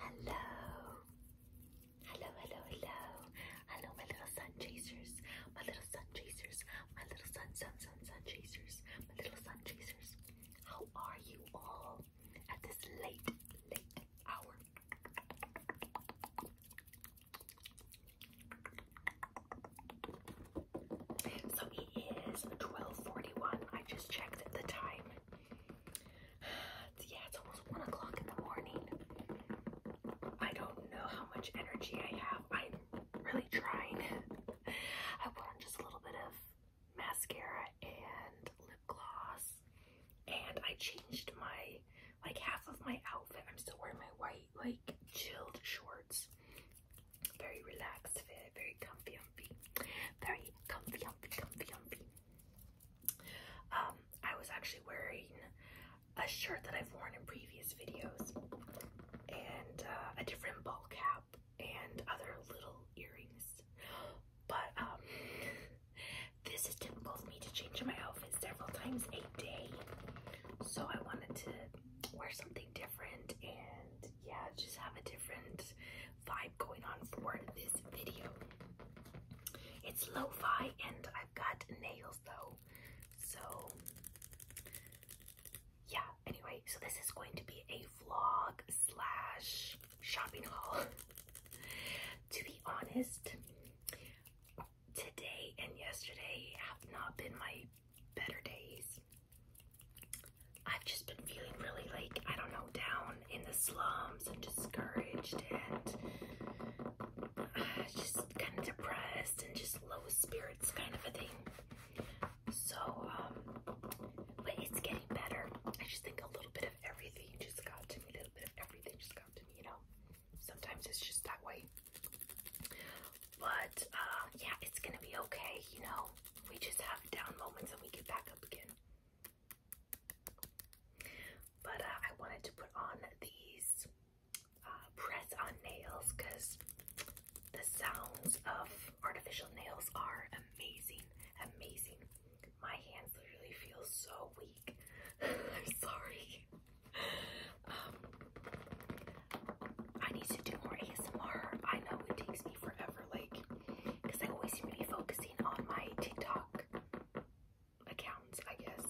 Hello. Hello, hello, hello. my little sun chasers. My little sun chasers. My little sun, sun, sun, sun chasers. My little sun chasers. How are you all at this late, late hour? So it is 12:41. I just checked the time. yeah, it's almost one o'clock in the morning. I don't know how much energy I have. I'm really trying. I put on just a little bit of mascara and lip gloss, and I changed my like half of my outfit. I'm still wearing my white like chilled shorts. Very relaxed fit, very comfy, comfy, very comfy, comfy, comfy, comfy. Um, I was actually wearing a shirt that I've worn in previous videos, and uh, a different ball cap, and other little earrings. But um, this is typical for me to change my outfit several times a day, so I wanted to wear something different and yeah, just have a different vibe going on for this video. It's lo-fi and I've got nails though. So yeah, anyway, so this is going to be a vlog slash shopping haul. to be honest, today and yesterday have not been my better days. I've just been feeling really like, I don't know, down in the slums and discouraged and uh, just kind of depressed and just low spirits kind of a thing. So, um, but it's getting better. I just think a little bit of everything just got to me, a little bit of everything just got to me, you know? Sometimes it's just that way. But, uh, yeah, it's gonna be okay, you know? We just have down moments and we get back up again. But uh, I wanted to put on these uh, press on nails because the sounds of artificial nails are amazing, amazing. My hands literally feel so weak. I'm sorry. Um, I need to do more ASMR. I know it takes me forever, like, because I always seem to be focusing on my TikTok accounts, I guess,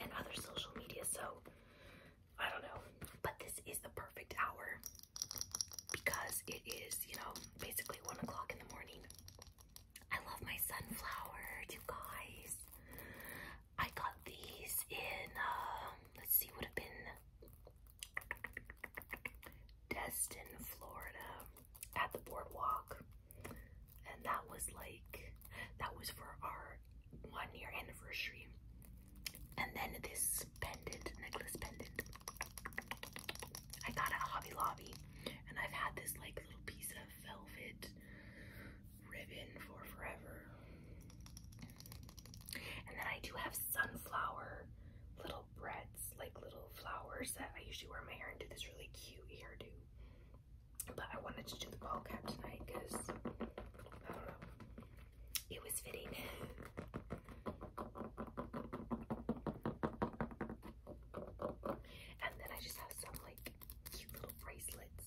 and other social media. So I don't know, but this is the perfect hour because it is, you know, basically one o'clock in the morning. I love my sunflower, you guys. I got these in, um, let's see, would have been Destin, Florida at the boardwalk, and that was like that was for our one year anniversary. And then this pendant, necklace pendant, I got at Hobby Lobby, and I've had this like little piece of velvet ribbon for forever. And then I do have sunflower little bread like little flowers that I usually wear my hair and do this really cute hairdo. But I wanted to do the ball cap tonight because I don't know. It was fitting. and then I just have some like cute little bracelets.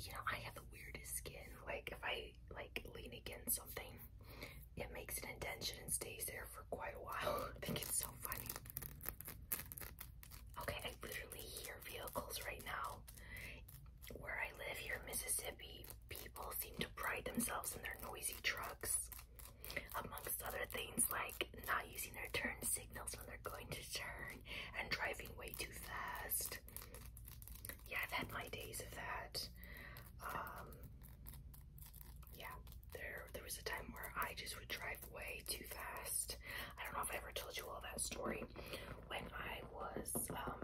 You know, I have the weirdest skin. Like if I like lean against something, it makes an indention and stays there for quite a while. I think it's so funny. Okay, I literally hear vehicles right now. Where I live here Mississippi, people seem to pride themselves in their noisy trucks. Amongst other things like not using their turn signals when they're going to turn and driving way too fast yeah, I've had my days of that. Um, yeah, there there was a time where I just would drive way too fast. I don't know if I ever told you all that story when I was um,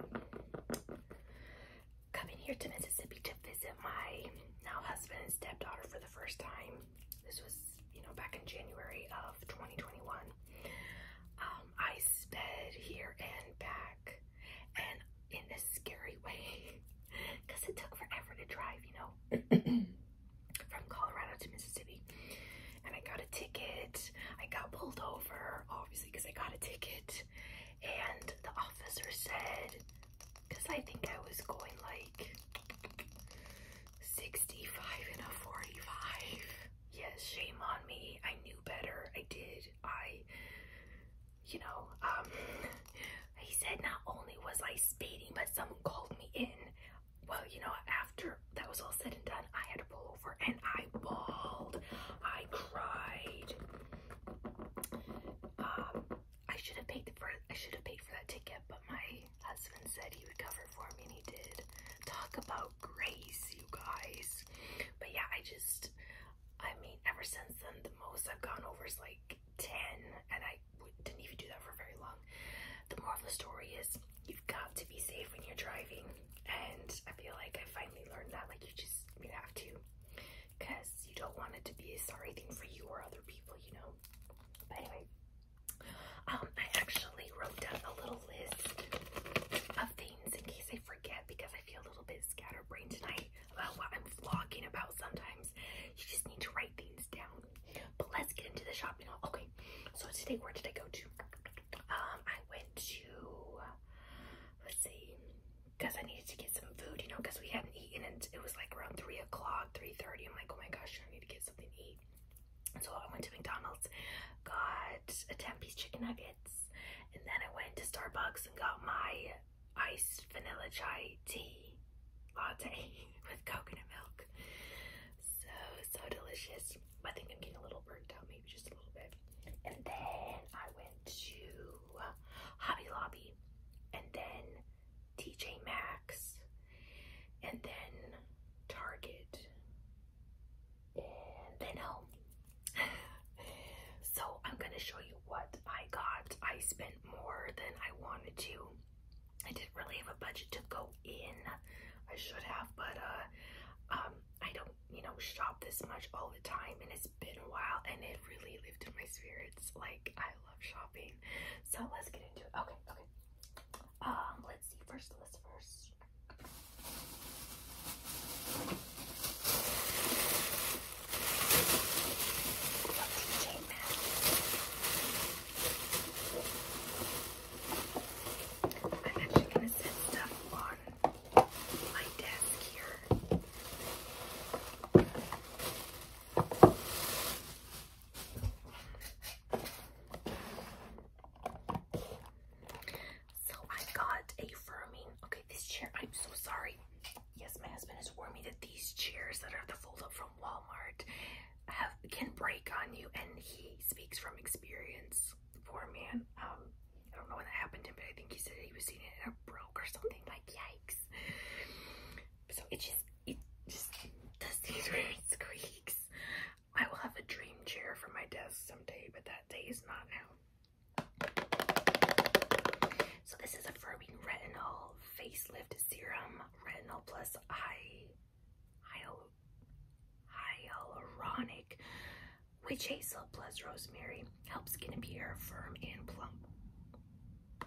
coming here to Mississippi to visit my now husband and stepdaughter for the first time. This was you know back in January of 2021. Um, I sped here and back and in this scary way because it took forever to drive, you know, from Colorado to Mississippi. And I got a ticket. I got pulled over, obviously, because I got a ticket. And the officer said, because I think I was going like 65 and a 45. Yes, shame on me. I knew better. I did. I you know, um, he said not only was I speeding, but someone called me in. Well, you know, after that was all said and done, I had to pull over and I bawled. I cried. Um, I should have paid for I should have paid for that ticket, but my husband said he would cover for me, and he did. Talk about grace, you guys. But yeah, I just I mean, ever since then, the most I've gone over is like 10, and I didn't even do that for very long. The moral of the story is you've got to be safe when you're driving, and I feel like I finally learned that. Like, you just you have to, because you don't want it to be a sorry thing for you or other people, you know. anyway, um, I actually wrote down a little list of things in case I forget because I feel a little bit scatterbrained tonight about what I'm vlogging about sometimes. You just need to write things down. But let's get into the shopping Okay, so today, where did I go to? Um, I went to, let's see, because I needed to get some food, you know, because we hadn't eaten and it was like around 3 o'clock, 3.30. I'm like, oh my gosh, I need to get something to eat. So I went to McDonald's, got a 10-piece chicken nugget and then I went to Starbucks and got my iced vanilla chai tea latte with coconut milk. So, so delicious. I think I'm getting a little burnt out, maybe just a little bit. And then I went to Hobby Lobby and then TJ Maxx and then Target and then home so I'm gonna show you what I got. I spent more than I wanted to. I didn't really have a budget to go in. I should have, but uh, um, I don't, you know, shop this much all the time, and it's been a while, and it really lifted my spirits. Like I love shopping, so let's get into it. Okay, okay. Um, let's see. First, let's first. I'm actually going to set stuff on my desk here. So I got a firming. Okay, this chair. I'm so sorry. Yes, my husband has warned me that these chairs that are the fold up from Walmart have can break on you, and he speaks from experience. Poor man. Um, I don't know when that happened to him, but I think he said he was seeing it and it broke or something. Like yikes. So it just it just does these weird squeaks. I will have a dream chair for my desk someday, but that day is not now. So this is a Firming Retinol Facelift Serum Retinol Plus Eye Hyal Hyaluronic Witch Hazel Plus Rosemary helps skin appear firm and plump.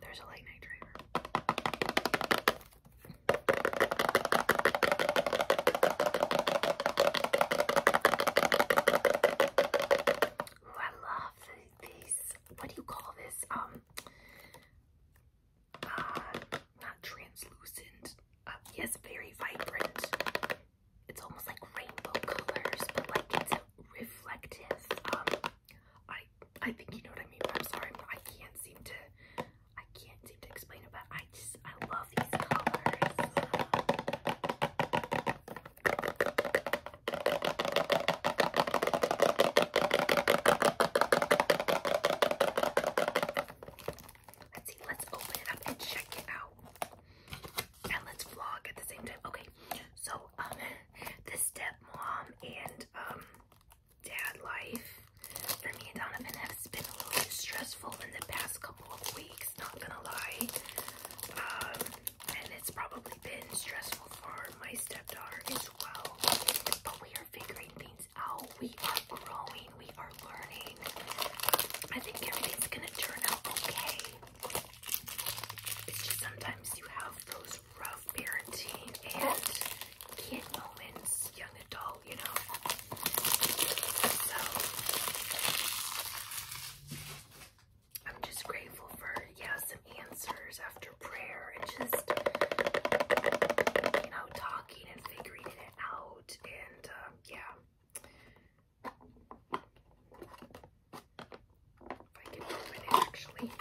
There's a light night driver. I love these. What do you call this? Um, uh, not translucent. Uh, yes, very vibrant. It's almost like rainbow colors, but like it's reflective. Um, I I think you know what I mean. I'm sorry, I can't seem to I can't seem to explain it, but I just I love these colors. Let's see, let's open it up and check it out. And let's vlog at the same time. Okay, so um this step mom and um dad life for me and Donovan has been a little bit stressful in the past couple of weeks not gonna lie. Um, and it's probably been stressful for my stepdaughter as well. But we are figuring things out. We are growing. We are learning. I think everything's gonna turn out okay. It's just sometimes you have those rough parenting and kid moments, young adult, you know. I'm just grateful for, yeah, some answers after prayer and just, you know, talking and figuring it out. And, um, yeah. I can open it, actually.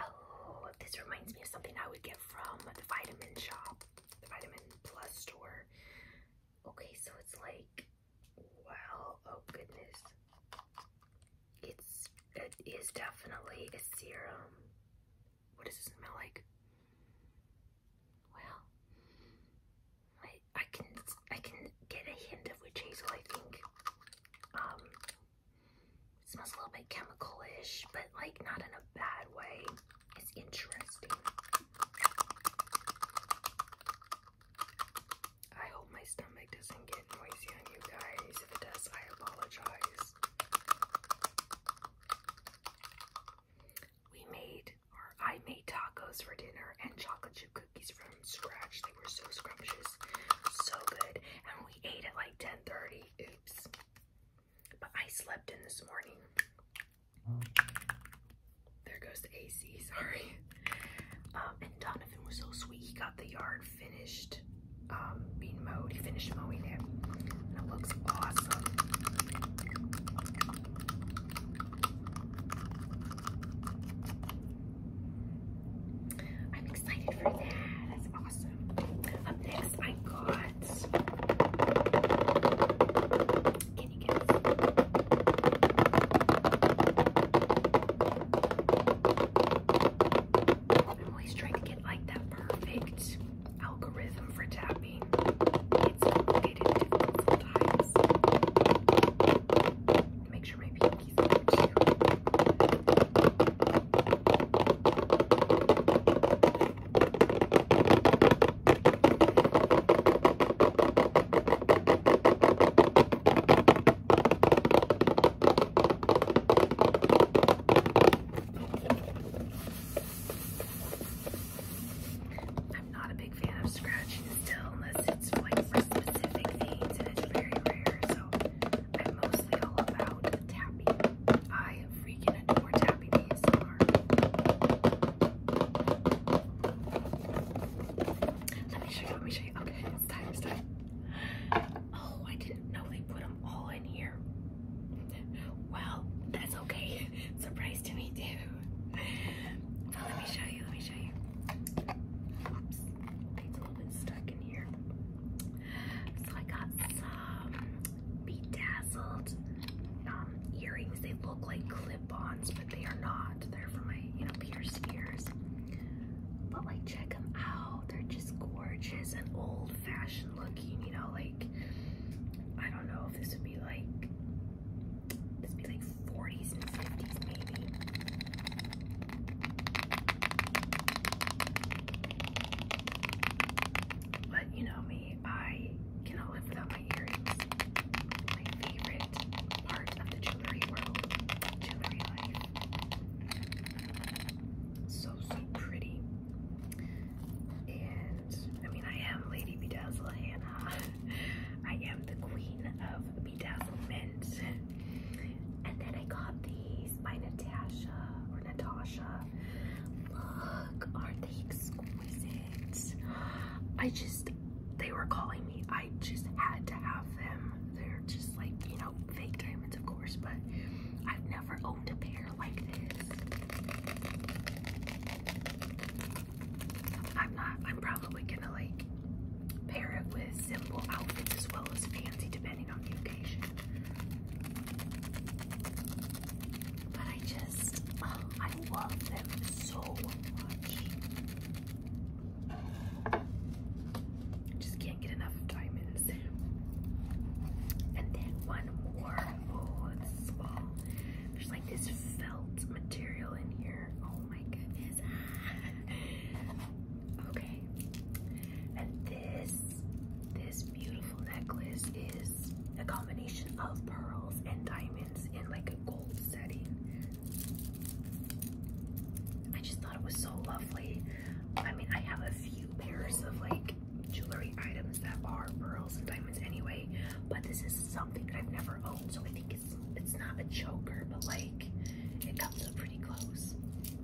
Oh, this reminds me of something I would get from the Vitamin Shop, the Vitamin Plus store. Okay, so it's like, wow, oh goodness. It's, it is definitely a serum. What does it smell like? Well, I, I can, I can get a hint of witch hazel, I think. Um, it smells a little bit chemical-ish, but like not in a bad way. It's interesting. I hope my stomach doesn't get noisy on you guys. If it does, I apologize. We made, or I made tacos for dinner and chocolate chip cookies from scratch. They were so scrumptious, so good. And we ate at like 10:30. Oops. But I slept in this morning. There goes the AC, sorry. Um, and Donovan was so sweet. He got the yard finished um, mowed. He finished mowing it. it looks awesome. I'm excited for that. That's awesome. next, I got got? I'm always trying to get like that perfect algorithm for tapping. Make sure my pinkies are I'm not a big fan of scratching still unless it's like for specific things and it's very rare. So I'm mostly all about tapping. I let me show you, let me show you. Okay, it's time, Oh, I didn't know they put them all in here. Well, that's okay. Surprise to me too. let me show you, let me show you. Oops, it's a little bit stuck in here. So I got some be dazzled um, earrings. They look like clip-ons, but they are not. They're for my, you know, pierced ears. But like, check them out. They're just gorgeous and old-fashioned looking. You know, like I don't know if this would be like this be like 40s and 50s maybe. But you know me, I cannot live without my My favorite part of the jewelry world, jewelry life. So, so pretty. And I mean, I am Lady Bedazzle Hannah. I am the queen of bedazzlement. And then I got these by Natasha or Natasha. Look, are they I just, they were calling me. I just had to have them. They're just like, you know, fake diamonds, of course, but I've never owned a pair like this. I'm not, I'm probably gonna like pair it with simple outfits as well as fancy, depending on the occasion. But I just, oh, I love them so much. Just can't get enough diamonds. And then one more. Oh, it's small. There's like this felt material in here. Oh my goodness. okay. And this, this beautiful necklace is a combination of pearls and diamonds in like a gold setting. I just thought it was so lovely. I mean, I have a few pairs of like jewelry items that are pearls and diamonds anyway, but this is something that I've never owned, so I think it's it's not a choker, but like it comes up pretty close.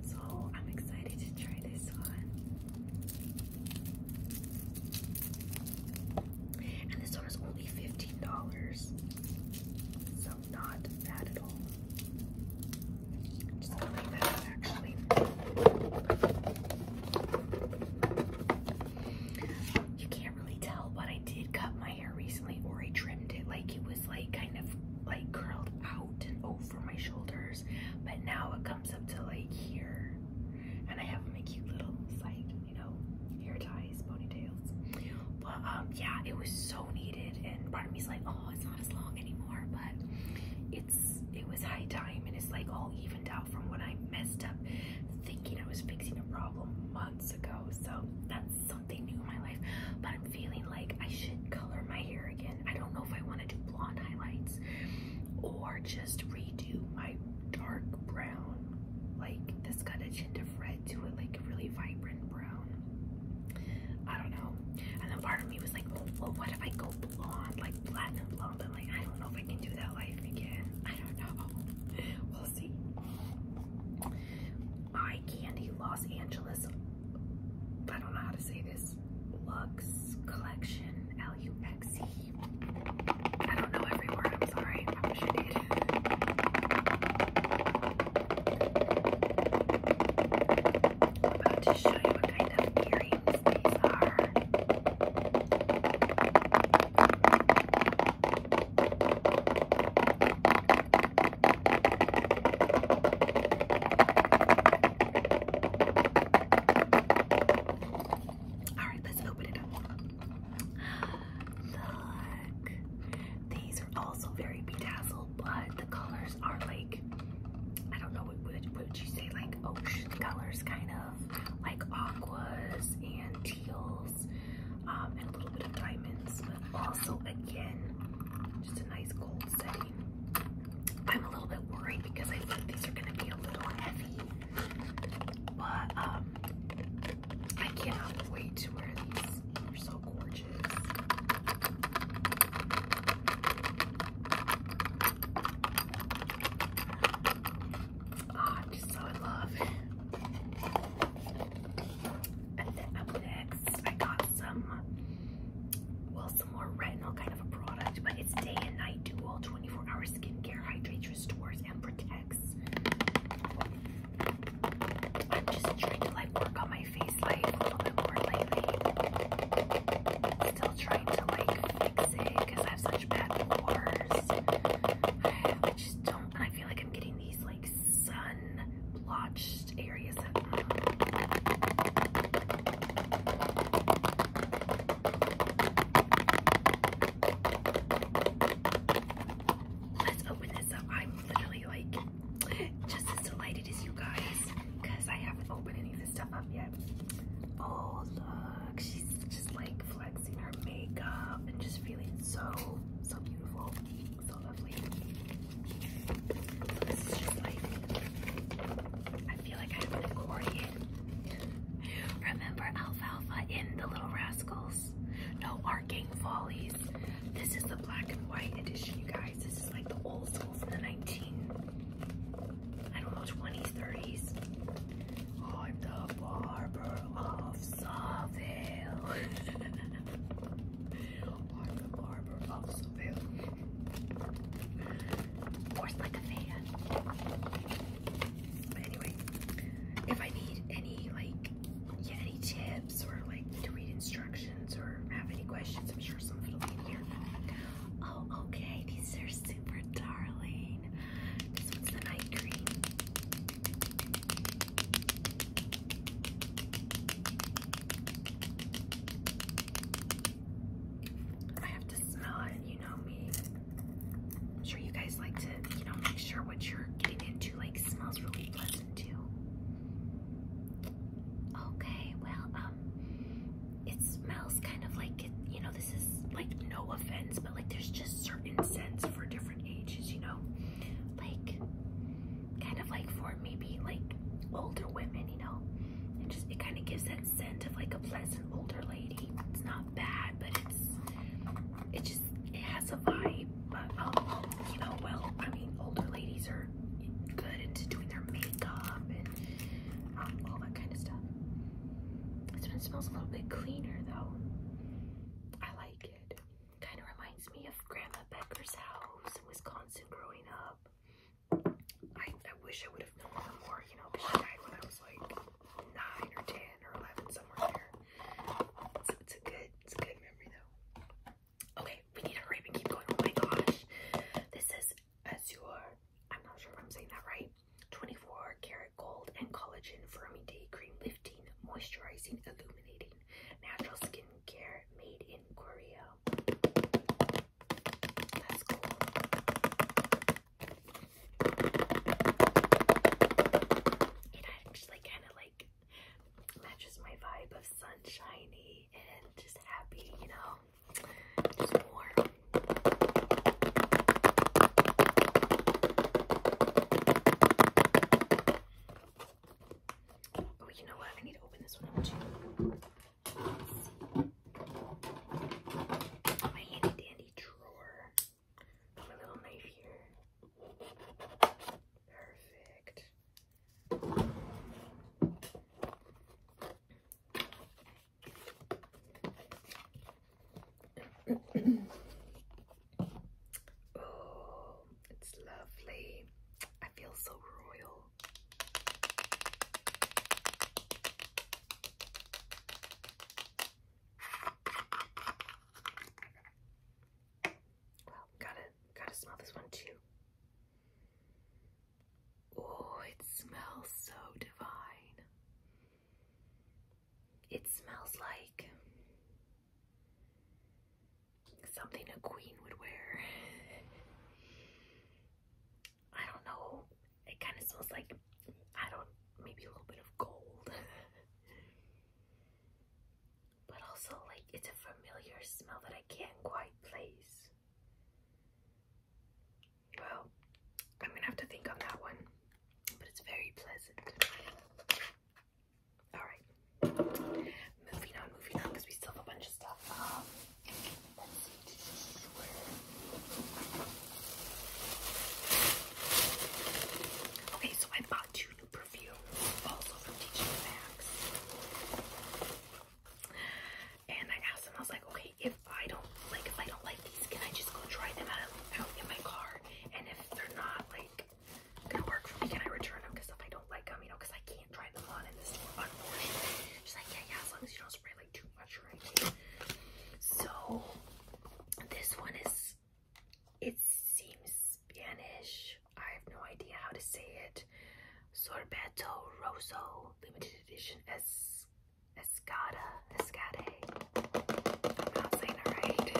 So I'm excited to try this one. And this one is only $15. So not bad at all. just going that actually. You can't really tell, but I did cut my hair recently or I trimmed it. Like it was like kind of like curled out and over my shoulders. But now it comes up to like here and I have my cute little side, you know, hair ties, ponytails. But um, yeah, it was so needed, and part of me's like, oh, it's not as long anymore, but it's it was high time, and it's like all evened out from what I messed up thinking I was fixing a problem months ago. So that's something new in my life. But I'm feeling like I should color my hair again. I don't know if I want to do blonde highlights or just redo my dark brown, like this kind of tint of red to it, like really vibrant brown. I don't know. And then part of me was like, oh, well, what if I go blonde, like platinum blonde? But like, I don't know if I can do that life again. I don't know. We'll see. Eye Candy Los Angeles. I don't know how to say this. Lux Collection L-U-X-E. I don't know every word, I'm sorry. I wish I did. I'm about to show you what kind of earrings these are. Alright, let's open it up. Look. These are also very bedazzled, but the colors are like, I don't know, what would, you say, like ocean colors, kind of, like aquas and teals, um, and a little bit of diamonds, but also, again, just a nice gold setting. I'm a little bit worried because I think these are going to be a little heavy but um I cannot wait to wear these. They're so gorgeous. Ah, I'm just so in love. And then next, I got some, well, some more retinol kind of a product, but it's day and night dual 24 hour skincare hydrate restores and protects. I'm just trying to like work on my face like a little bit more lately. Still trying to like fix it because I have such bad pores. I just don't, and I feel like I'm getting these like sun blotched areas Let's open this up. I'm literally like just as delighted as you guys because I haven't opened any of this stuff up yet. Oh, look, she's just like flexing her makeup and just feeling so, so beautiful, so lovely. this is just like, I feel like I have an accordion Remember Alfalfa in The Little Rascals? No Arcane Follies. This is the black and white edition, you guys. This is like the old school from the 19, I don't know, 20s, 30s. i the barber of Saville. I'm the barber of Saville. Of like a fan. But anyway, if I need any like any tips or like to read instructions or have any questions, I'm sure some of it'll be here. Oh, okay, these are super darling. This one's the night green. I have to smell it, you know me. I'm sure you guys like to, you know, make sure what you're getting into like smells really pleasant too. Okay, well, um, it smells kind of like you know, this is like no offense, but like there's just certain scents for different ages, you know, like kind of like for maybe like older women, you know, and just it kind of gives that scent of like a pleasant older lady. It's not bad, but it's it just it has a vibe. But um, you know, well, I mean, older ladies are good into doing their makeup and um, all that kind of stuff. This one smells a little bit cleaner though. I like it. Kind of reminds me of Grandma Becker's house in Wisconsin growing up. I, I wish I would have known more, you know, but I was like nine or ten or eleven somewhere there. It's, it's a good, it's a good memory though. Okay, we need to hurry keep going. Oh my gosh, this is Azure. I'm not sure if I'm saying that right. 24 karat gold and collagen firming day cream, lifting, moisturizing, illuminating, natural skincare made in Korea. That's cool. It actually kind of like matches my vibe of sunshiny and just happy, you know, just warm. Oh, you know what? I need to open this one too. My handy dandy drawer. Put little knife here. Perfect. oh, it's lovely. I feel so royal. Well, gotta gotta smell this one too. Oh, it smells so divine. It smells like something a queen would wear. I don't know. It kind of smells like, I don't, maybe a little bit of gold. but also, like, it's a familiar smell that I can't quite place. Well, I'm gonna have to think on that one, but it's very pleasant. Alright, moving on, moving on, because we still have a bunch of stuff. Um, Okay, so I bought two new perfumes, also from TJ Maxx. And I asked them, I was like, okay, if I don't like, if I don't like these, can I just go try them out, out in my car? And if they're not like gonna work for me, can I return them? Because if I don't like them, you know, because I can't try them on in the store, unfortunately. She's like, yeah, yeah, as long as you don't spray too much right so this one is it seems Spanish I have no idea how to say it sorbeto rosso limited edition es escada escade not saying it right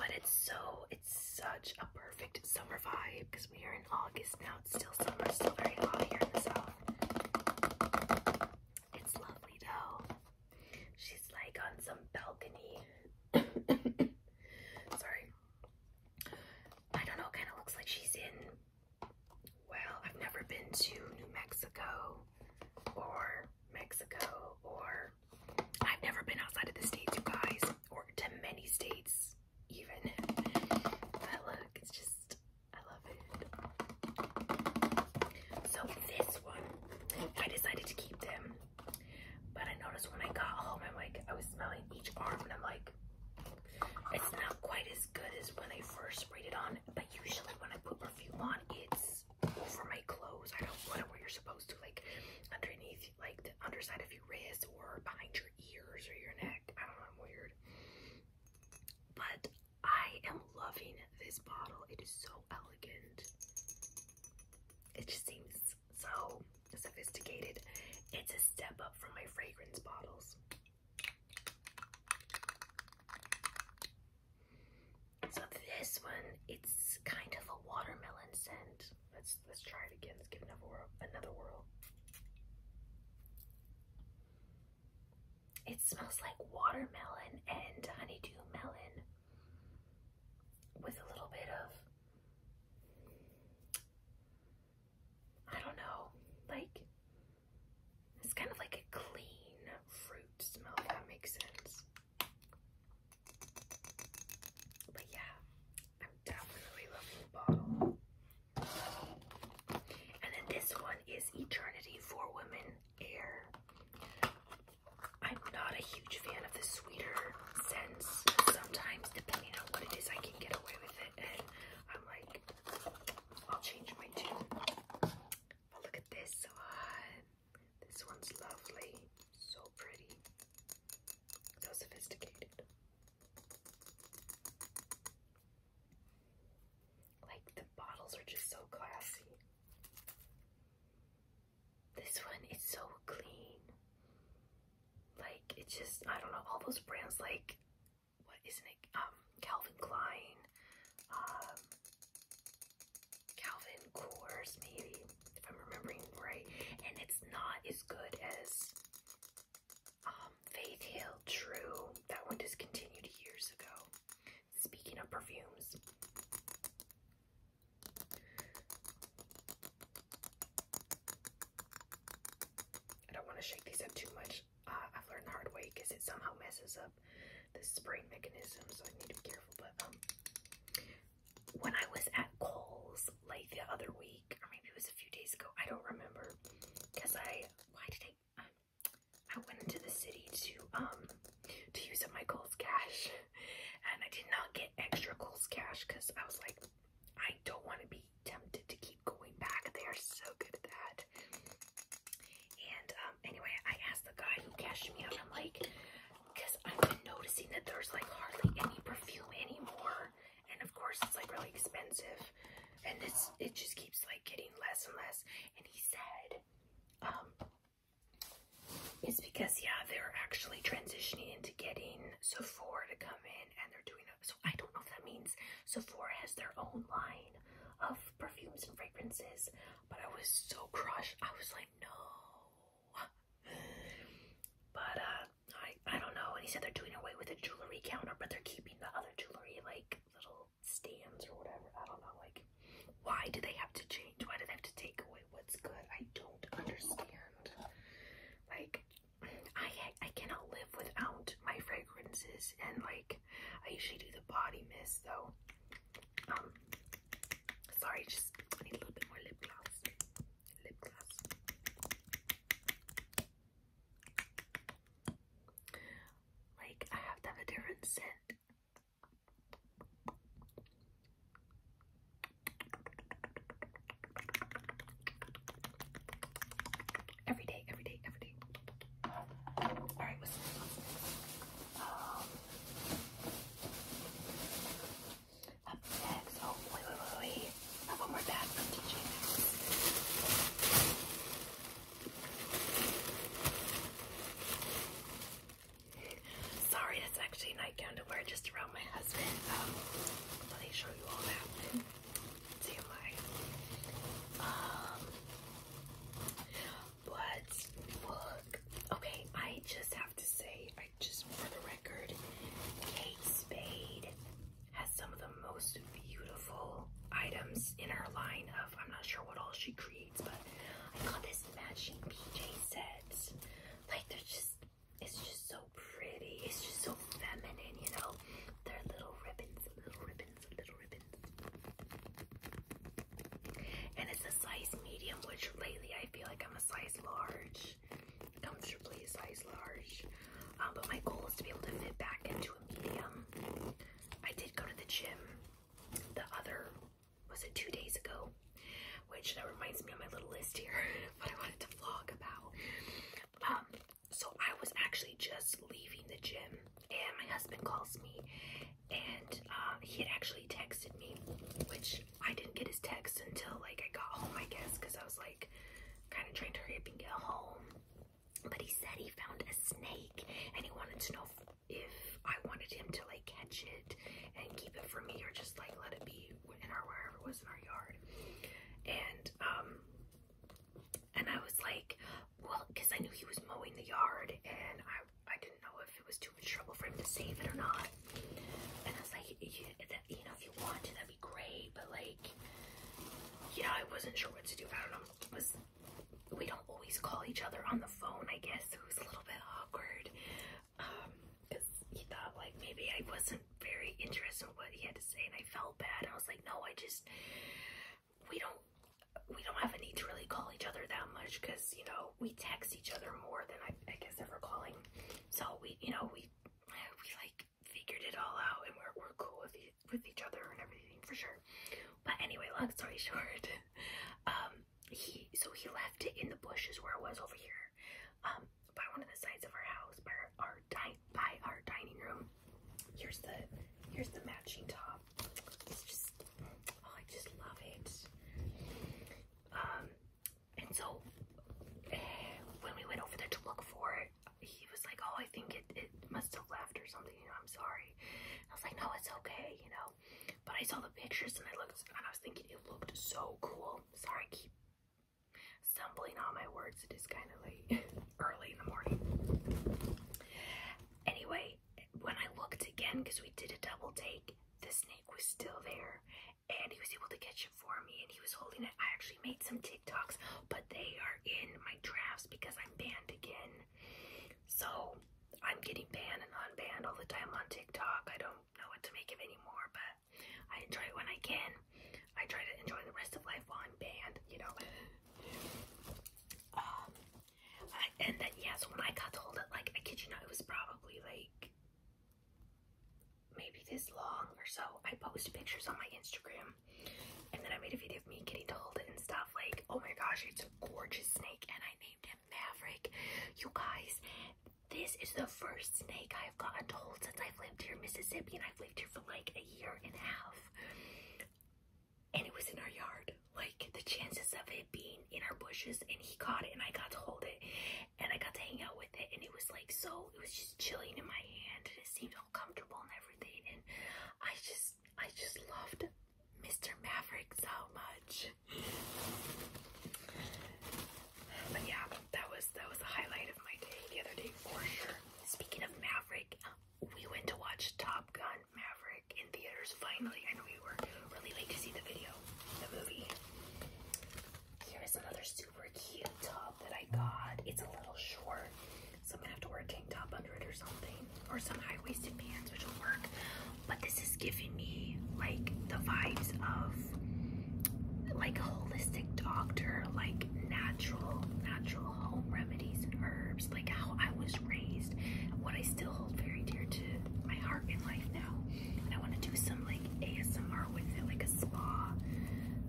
but it's so it's such a perfect summer vibe because we are in August now it's still summer still very hot here in the south it's lovely though. She's like on some balcony. Sorry. I don't know, kind of looks like she's in. Well, I've never been to New Mexico or Mexico or. I've never been outside of the states, guys, or to many states, even. But look, it's just I love it. So this one, I decided to keep them. But I noticed when I got home, I'm like, I was smelling each arm and I'm like, it's not quite as good as when I first sprayed it on. But usually when I put perfume on, it's over my clothes. I don't put it where you're supposed to, like underneath, like the underside of your wrist or behind your ears or your neck. I don't know, I'm weird. But I am loving this bottle. It is so elegant. It just seems so sophisticated. It's a step up from my fragrance bottles. So this one, it's kind of a watermelon scent. Let's let's try it again. Let's give another Another whirl. It smells like watermelon and honeydew melon with a little bit of I don't know, like it's kind of like a clean fruit smell that makes sense. But yeah, I'm definitely loving the bottle. And then this one is Eternity for Women Air. I'm not a huge fan of the sweeter scents. Sometimes, depending on what it is, I can get away with it, and I'm like, I'll change my tune. But look at this one. This one's lovely. So pretty. So sophisticated. Like the bottles are just so classy. This one is so clean. Like it's just I don't know all those brands like what isn't it um Calvin Klein um Calvin Coors maybe if I'm remembering right and it's not as good as um, Faith Hill, true. That one discontinued years ago. Speaking of perfumes. I don't want to shake these up too much. Uh, I've learned the hard way because it somehow messes up the spraying mechanism, so I need to be careful. But um, when I was at Kohl's like the other week, or maybe it was a few days ago, I don't remember, because I why did I? Um, I went into the city to um to use up my Kohl's cash, and I did not get extra Kohl's cash because I was like, I don't want to be tempted to keep going back. They are so good at that. And um, anyway, I asked the guy who cashed me out. I'm like, because I've been noticing that there's like hardly any perfume anymore, and of course it's like really expensive, and it's it just keeps like getting less and less and he said um, it's because yeah they're actually transitioning into getting Sephora to come in and they're doing that. So I don't know if that means Sephora has their own line of perfumes and fragrances, but I was so crushed. I was like, no. But uh, I I don't know. And he said they're doing away with the jewelry counter, but they're keeping the other jewelry like little stands or whatever. I don't know. Like, why do they have to change? Why do they have to take away what's good? I don't understand. Like, I I cannot live without my fragrances, and like, I usually do the body mist though. Um, sorry, just I need a little bit more lip gloss. Lip gloss. Like, I have to have a different scent. Every day, every day, every day. Alright, what's um, up next? Oh, wait, wait, wait, wait. I have one more bag from TJ Maxx. Sorry, that's actually nightgown to wear just around my husband. Um, show you all that. See my. Um, but Okay, I just have to say, I just for the record, Kate Spade has some of the most beautiful items in her line of, I'm not sure what all she creates, but I got this matching PJ set. Like, they're just, it's just so pretty. It's just so feminine, you know? They're little ribbons, little ribbons, little ribbons. And it's a size medium, which lately I feel like I'm a size large. Comfortably a size large. Um, but my goal is to be able to fit back into a medium. I did go to the gym the other, was it two days ago? Which that reminds me of my little list here, But I wanted to vlog about. Um, so I was actually just leaving the gym and my husband calls me and um, he had actually texted me, which I didn't get his text until like I got home, I guess, because I was like kind of trying to hurry up and get home but he said he found a snake and he wanted to know if I wanted him to like catch it and keep it for me or just like let it be in our wherever it was in our yard. And um and I was like, well, because I knew he was mowing the yard and I I didn't know if it was too much trouble for him to save it or not. And I was like, you know, if you want to, that'd be great. But like, yeah, I wasn't sure what to do. I don't know. It we don't always call each other on the phone, I guess. It was a little bit awkward. Um, because he thought like maybe I wasn't very interested in what he had to say and I felt bad. I was like, no, I just we don't we don't have a need to really call each other that much because you know we text each other more than I, I guess ever calling. So we you know we we like figured it all out and we're we're cool with each with each other and everything for sure. But anyway, long story short, um, he so he left it in the bushes where it was over here, um, by one of the sides of our house, by our, our by our dining room. Here's the here's the matching top. Oh, I just love it. Um, and so eh, when we went over there to look for it, he was like, oh, I think it, it must have left or something, I'm sorry. I was like, no, it's okay, you know. But I saw the pictures and I looked I was thinking it looked so cool. Sorry, I keep stumbling on my words. It is kind of late, early in the morning. Anyway, when I looked again, because we did a double take, the snake was still there and he was able to catch it for me and he was holding it. I actually made some TikToks, but they are in my drafts because I'm banned again. So I'm getting banned and unbanned all the time on TikTok. I don't know what to make of anymore, but I enjoy it when I can. I try to enjoy the rest of life while I'm banned, you know. Um, I, and then yes, when I got told it, like I kid you not, it was probably like maybe this long or so. I post pictures on my Instagram and then I made a video of me getting to hold it and stuff like, oh my gosh, it's a gorgeous snake, and I named him Maverick. You guys, this is the first snake I have gotten to hold since I've lived here in Mississippi, and I've lived here for like a year and a half. And it was in our yard. Like the chances of it being in our bushes, and he caught it, and I got to hold it, and I got to hang out with it, and it was like so. It was just chilling in my hand, and it seemed all comfortable and everything, and I just I just loved Mr. Maverick so much. But yeah, that was that was the highlight of my day the other day for sure. Speaking of Maverick, we went to watch Top Gun Maverick in theaters finally, and we were really late to see the video, the movie. Here is another super cute top that I got. It's a little short. So I'm gonna have to wear a tank top under it or something, or some high-waisted pants, which will work. But this is giving me like the vibes of like a holistic doctor, like natural, natural home remedies and herbs, like how I was raised, what I still hold very dear to my heart in life now. And I want to do some like ASMR with it, like a spa,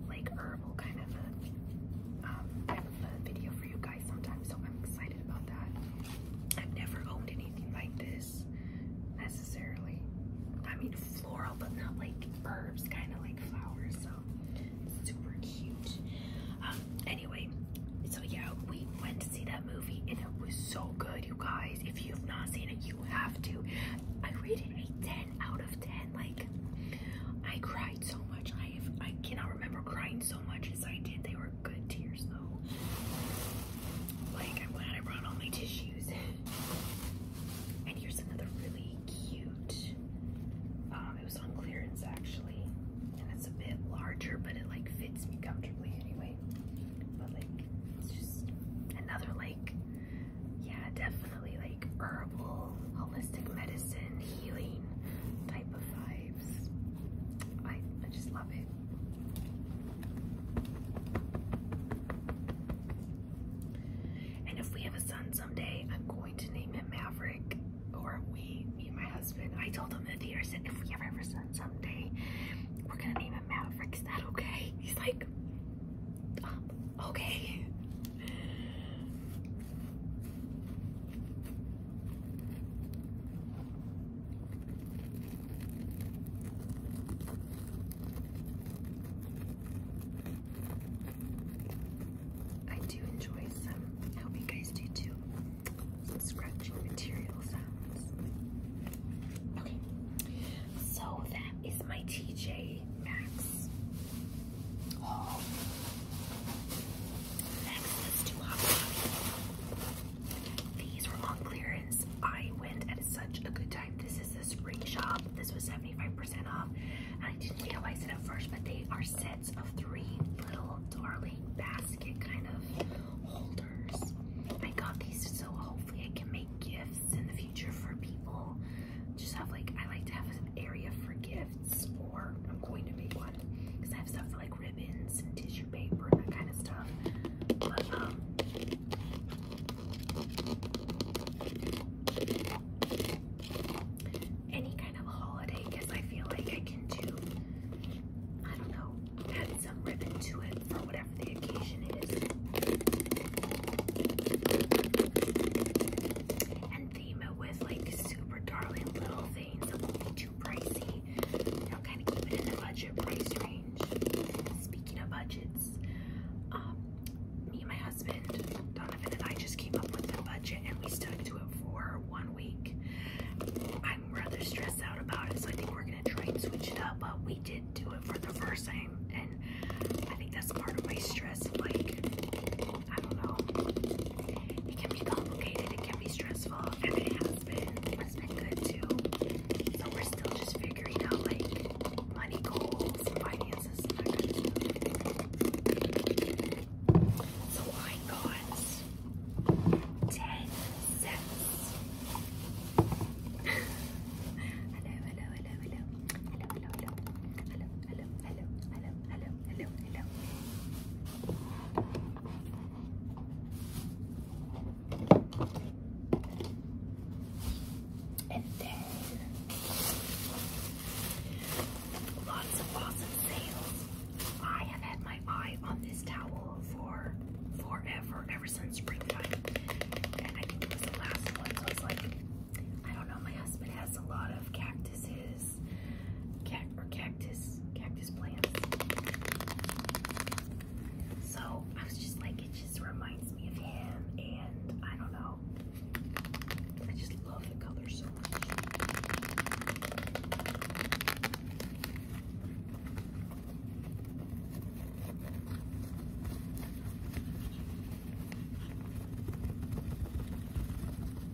like herbal kind of a um, of a video for you guys sometimes, so I'm excited about that. I've never owned anything like this necessarily. I mean, floral, but not like herbs, kind of like flowers, so super cute. Um, anyway, so yeah, we went to see that movie and it was so good, you guys. If you've not seen it, you have to. I rated a 10 out of 10. Like, I cried so much. I have, I cannot remember crying so much as I did. They were good tears though. Like I'm glad I brought all my tissues. and here's another really cute. Um, it was on clearance actually, and it's a bit larger, but it like fits me comfortably anyway. But like it's just another like yeah, definitely like herbal holistic medicine healing type of vibes. I, I just love it. And if we have a son someday, I'm going to name him Maverick. Or we, me and my husband. I told him that the I said, if we ever have a son someday, we're gonna name him Maverick. Is that okay? He's like, um, okay. I do enjoy some, I hope guys do too, scratching material sounds. Okay, so that is my TJ Maxx Next, let's do hot coffee. These were on clearance. I went at such a good time. This is a spring shop. This was 75% off. And I didn't realize it at first, but they are sets of three little darling basket kind of holders. I got these so hopefully I can make gifts in the future for people. Just have like, I like to have an area for gifts or I'm going to make one because I have stuff for like ribbons and tissue paper and that kind of stuff. Um, any kind of holiday, because I feel like I can do. I don't know, add some ribbon to it for whatever the occasion is theme it with like super darling little things that won't be too pricey. I'll kind of keep it in the budget price range. Speaking of budgets, um, me and my husband, Donovan and I just came up with the budget and we stuck to it for one week. I'm rather stressed out about it, so I think we're gonna try and switch it up, but we did do it for the first time and I think that's part of my stress, like I don't know. It can be complicated, it can be stressful, and it has been, has been good too. So we're still just figuring out like money goals and finances and that So I got 10 hello, hello, hello, hello, hello, hello, hello, hello, hello, hello, hello, hello, hello. And then lots of awesome sales. I have had my eye on this towel for forever, ever since springtime. And I think it was the last one, so it's like, I don't know, my husband has a lot of cactuses cact or cactus cactus plants so I was just like it just reminds me of him and I don't know I just love the color so much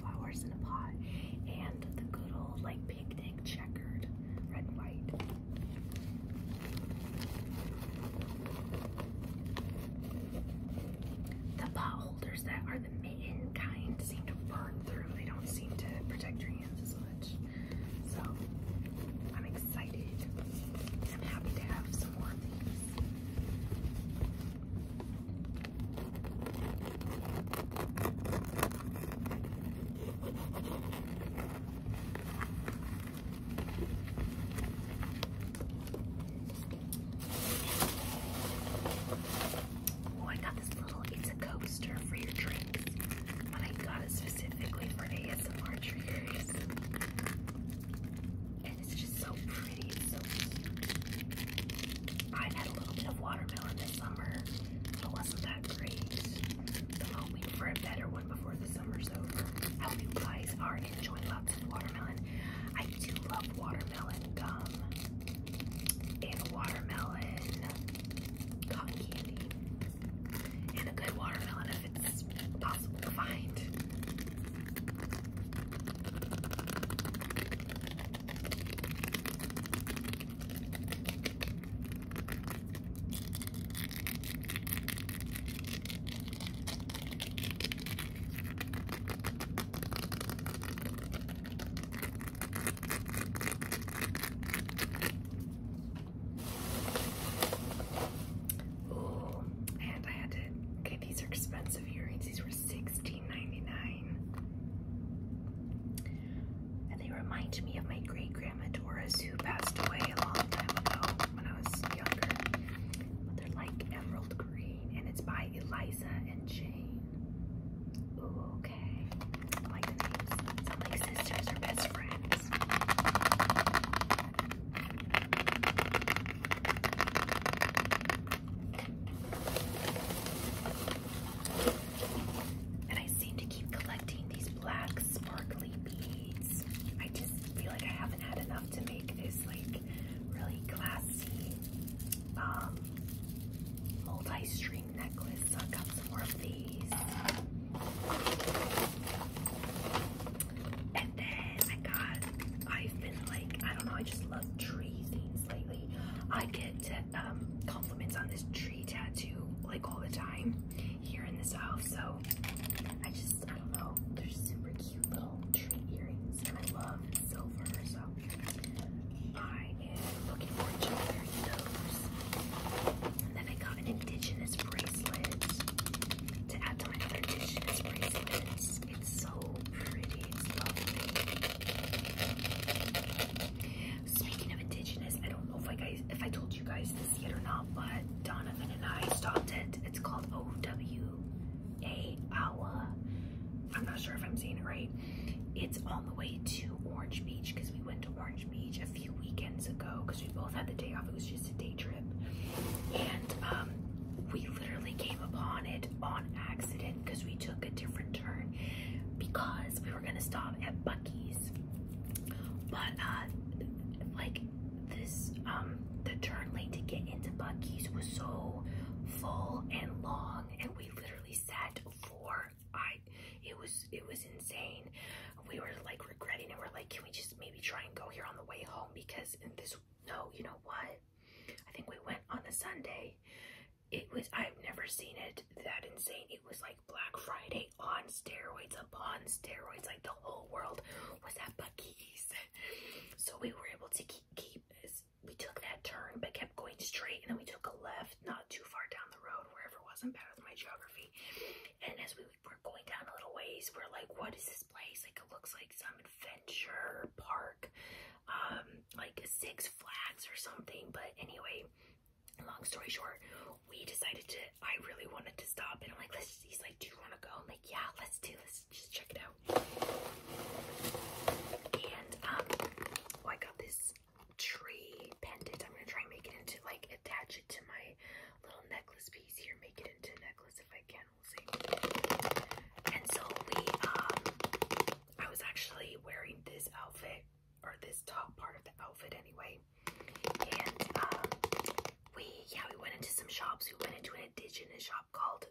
flowers in a pot and the good old like picnic checkered red and white. The pot holders that are the mitten kind seem to burn through. They don't seem to protect your hands as much. So I'm excited. I'm happy to have some more Oh, I got this little, it's coaster for your drinks, I got it specifically for ASMR triggers. And it's just so i had a little bit of watermelon this summer, but wasn't that great. hoping for a better one before the summer's over. I hope you guys are enjoying lots of watermelon. I do love watermelon gum and watermelon cotton candy. And a good watermelon if it's possible to find. Ooh, and I had to these are expensive earrings. These were $16.99. And they remind me of my great grandma Doris, who passed away a long time ago when I was younger. But they're like emerald green, and it's by Eliza and Jane. okay. like sisters or best friends. And I seem to keep collecting these black sparkly beads. I just feel like I haven't had enough to make this like really classy um, multi-string necklace. So I've got some more of these. And then I got, I've been like, I don't know, I just love trees lately. I get um, compliments on this tree tattoo like all the time here in the South. So I just, I don't know, they're super cute little tree earrings and I love silver. So I am looking forward to wearing those. And then I got an indigenous bracelet to add to my other indigenous bracelets. It's so pretty. It's lovely. Speaking of indigenous, I don't know if I guys if I told you guys this yet or not, but Donovan and I stopped it. It's called OWA Awa. I'm not sure if I'm saying it right. It's on the way to Orange Beach because we went to Orange Beach a few weekends ago because we both had the day off. It was just a day trip. And um, we literally came upon it on accident because we took a different turn because we were gonna stop at Bucky's. But uh like this um the turn lane to get into Bucky's was so full and long and we literally sat for I it was it was insane. We were like regretting it. We're like, can we just maybe try and go here on the way home because in this no, you know what? I think we went on the Sunday it was I've never seen it that insane. It was like Black Friday on steroids upon steroids. Like the whole world was at Bucky's. So we were able to keep, keep we took that turn but kept going straight and then we took a left not too far down the road wherever it was. I'm bad with my geography. And as we were going down a little ways, we're like, what is this place? Like it looks like some adventure park um, like six flags or something. But anyway, long story short, we decided to, I really wanted to stop. And I'm like, let's, he's like, do you want to go? I'm like, yeah, let's do Let's Just check it out. And, um, oh, I got this tree pendant. I'm going to try and make it into, like, attach it to my little necklace piece here. Make it into a necklace if I can. We'll see. And so we, um, I was actually wearing this outfit or this top part of the outfit anyway. And um, we, yeah, we went into some shops. We went into an indigenous shop called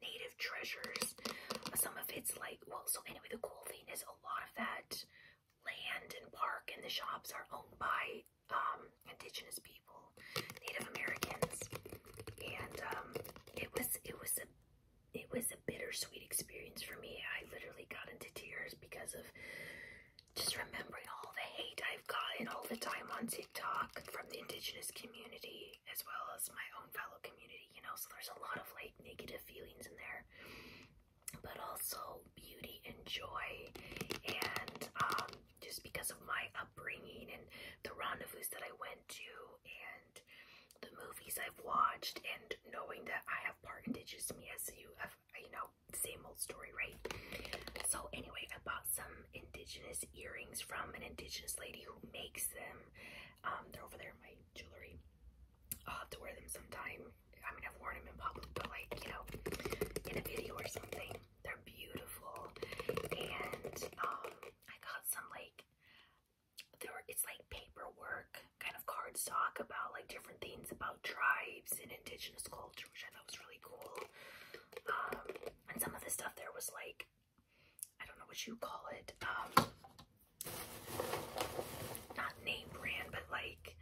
Native Treasures. Some of it's like, well, so anyway, the cool thing is a lot of that land and park and the shops are owned by um, indigenous people, Native Americans. And um, it was, it was a it was a bittersweet experience for me. I literally got into tears because of just remembering all the hate I've gotten all the time on TikTok from the indigenous community as well as my own fellow community, you know, so there's a lot of like negative feelings in there. But also beauty and joy and um just because of my upbringing and the rendezvous that I went to and the movies I've watched and knowing that I have part indigenous to me as you have, you know, same old story, right? So anyway, I bought some indigenous earrings from an indigenous lady who makes them. Um, they're over there in my jewelry. I'll have to wear them sometime. I mean, I've worn them in public, but like, you know, in a video or something. They're beautiful. And um, I got some like there were, it's like paperwork, kind of cardstock about like different things about tribes and indigenous culture, which I thought was really cool. Um, and some of the stuff there was like, I don't know what you call it, um, not name brand, but like,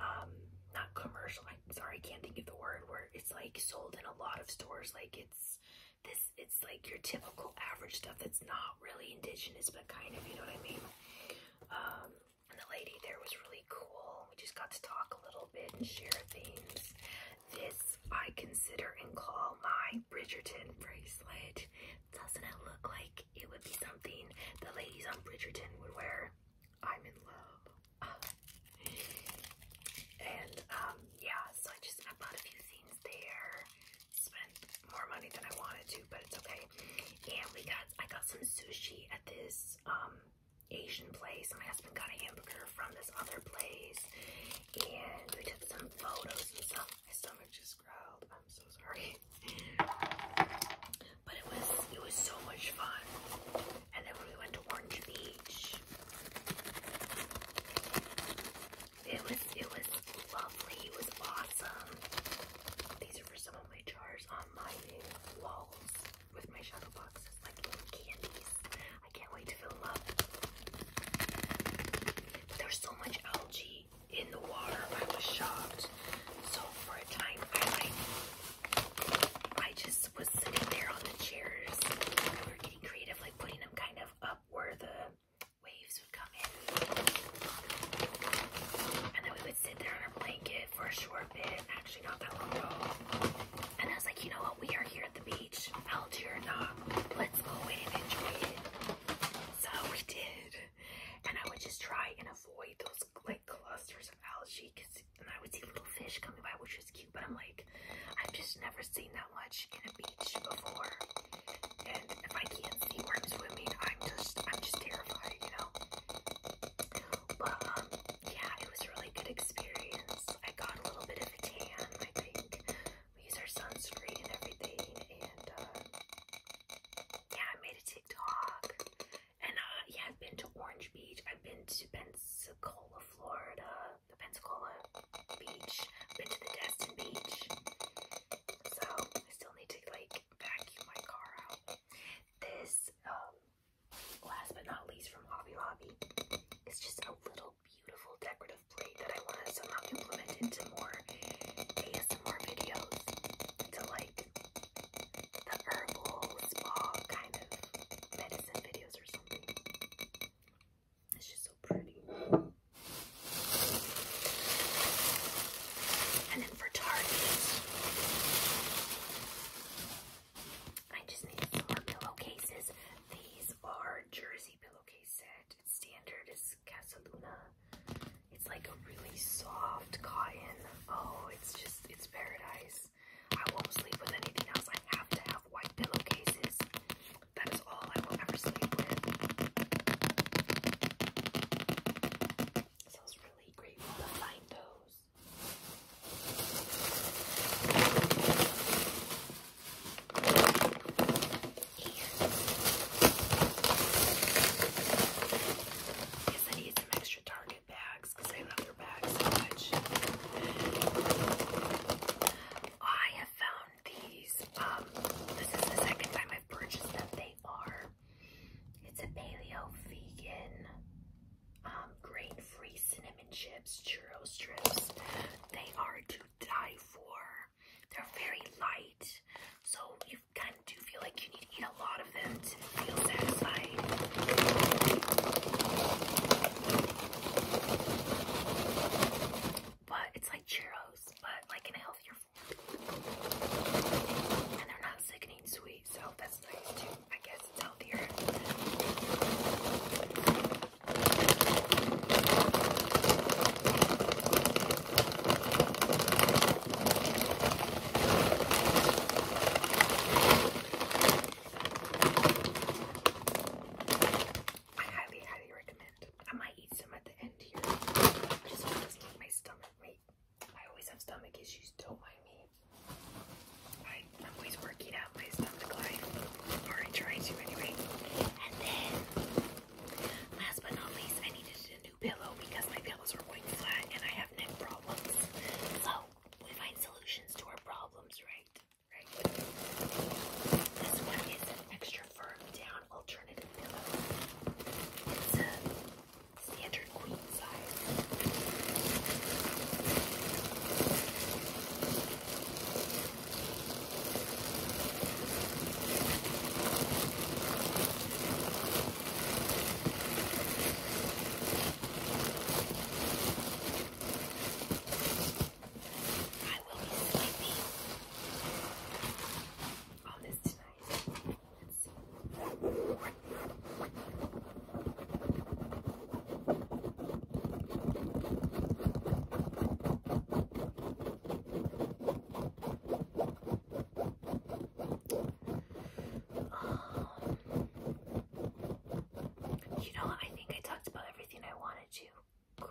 um, not commercial. I'm sorry, I can't think of the word where it's like sold in a lot of stores. Like it's this it's like your typical average stuff that's not really indigenous but kind of you know what I mean um and the lady there was really cool we just got to talk a little bit and share things this I consider and call my Bridgerton bracelet doesn't it look like it would be something the ladies on Bridgerton would wear I'm in love and um yeah so I just I bought a few things there spent more money than I wanted to, but it's okay. And we got, I got some sushi at this um, Asian place. My husband got a hamburger from this other place. And we took some photos and stuff. My stomach just growled. I'm so sorry. But it was, it was so much fun. And then when we went to Orange Beach, it was it was lovely. It was awesome. These are for some of my jars on my walls with my shadow boxes, like little candies. I can't wait to fill them up. There's so much algae in the water. I was shocked. So for a time, I like I just was sitting there on the chairs. getting creative, like putting them kind of up where the waves would come in. And then we would sit there on our blanket for a short bit, actually not that long ago. And I was like, you know what, we are here at the beach, Algier or not, let's go in and enjoy it. So we did. And I would just try and avoid those like clusters of algae Cause I would see little fish coming by, which was cute, but I'm like, I've just never seen that much in a beach before, and if I can't see where I'm swimming, I'm just I'm just terrified, you know. But um, yeah, it was a really good experience. I got a little bit of tan, I think. We use our sunscreen and everything, and uh, yeah, I made a TikTok. And uh, yeah, I've been to Orange Beach. I've been to Pensacola, Florida the Pensacola beach. Been to the Destin beach. So I still need to like vacuum my car out. This, um, last but not least from Hobby Lobby, is just a little beautiful decorative plate that I want to somehow implement into more ASMR videos. Into like the herbal spa kind of medicine videos or something. It's just so pretty. And then for Target, I just need more pillowcases. These are Jersey pillowcase set. standard. It's Casaluna. It's like a really soft cotton. Oh, it's just, it's paradise. I won't sleep with anything else. I have to have white pillowcases. That is all I will ever see with. So I was really grateful to find those. And I need some extra Target bags because I love their bags so much. I have found these. Um, this is the second time I've purchased them. They are, it's a paleo vegan, um, grain-free cinnamon chips, churro strips. They are to die for. They're very light, so you kind of do feel like you need to eat a lot of them to feel satisfied but it's like Cheerios, but like in a healthier form. And they're not sickening sweet, so that's nice too. I guess healthier. I highly, highly recommend I might eat some at the end here. I just want to make my stomach wait. I always have stomach issues, don't mind me. I, am always working out my stomach life, or I try to anyway. And then, last but not least, I needed a new pillow because my pillows were going flat and I have neck problems. So, we find solutions to our problems, right? Right. This one is an extra firm down alternative pillow. It's a standard queen size. Right. I will be sleeping on this tonight. Let's see. you know, I think I talked about everything I wanted to. Cool.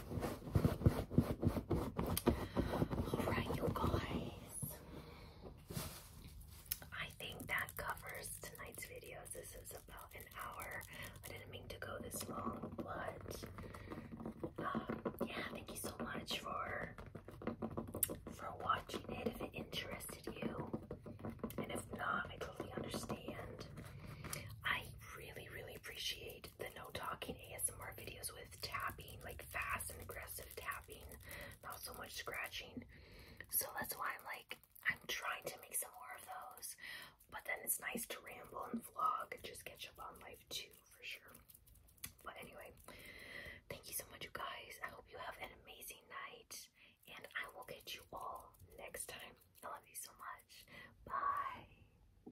Alright, you guys. I think that covers tonight's videos. This is about an hour. I didn't mean to go this long, but um, yeah, thank you so much for for watching it. If it interested you, and if not, I totally understand. I really, really appreciate the no talking ASMR videos with tapping, like fast and aggressive tapping, not so much scratching. So that's why I'm like, I'm trying to make some more of those. But then it's nice to ramble and vlog and just catch up on life too, for sure. But anyway, thank you so much, you guys. I hope you have an amazing night. And I will catch you all next time. I love you so much. Bye.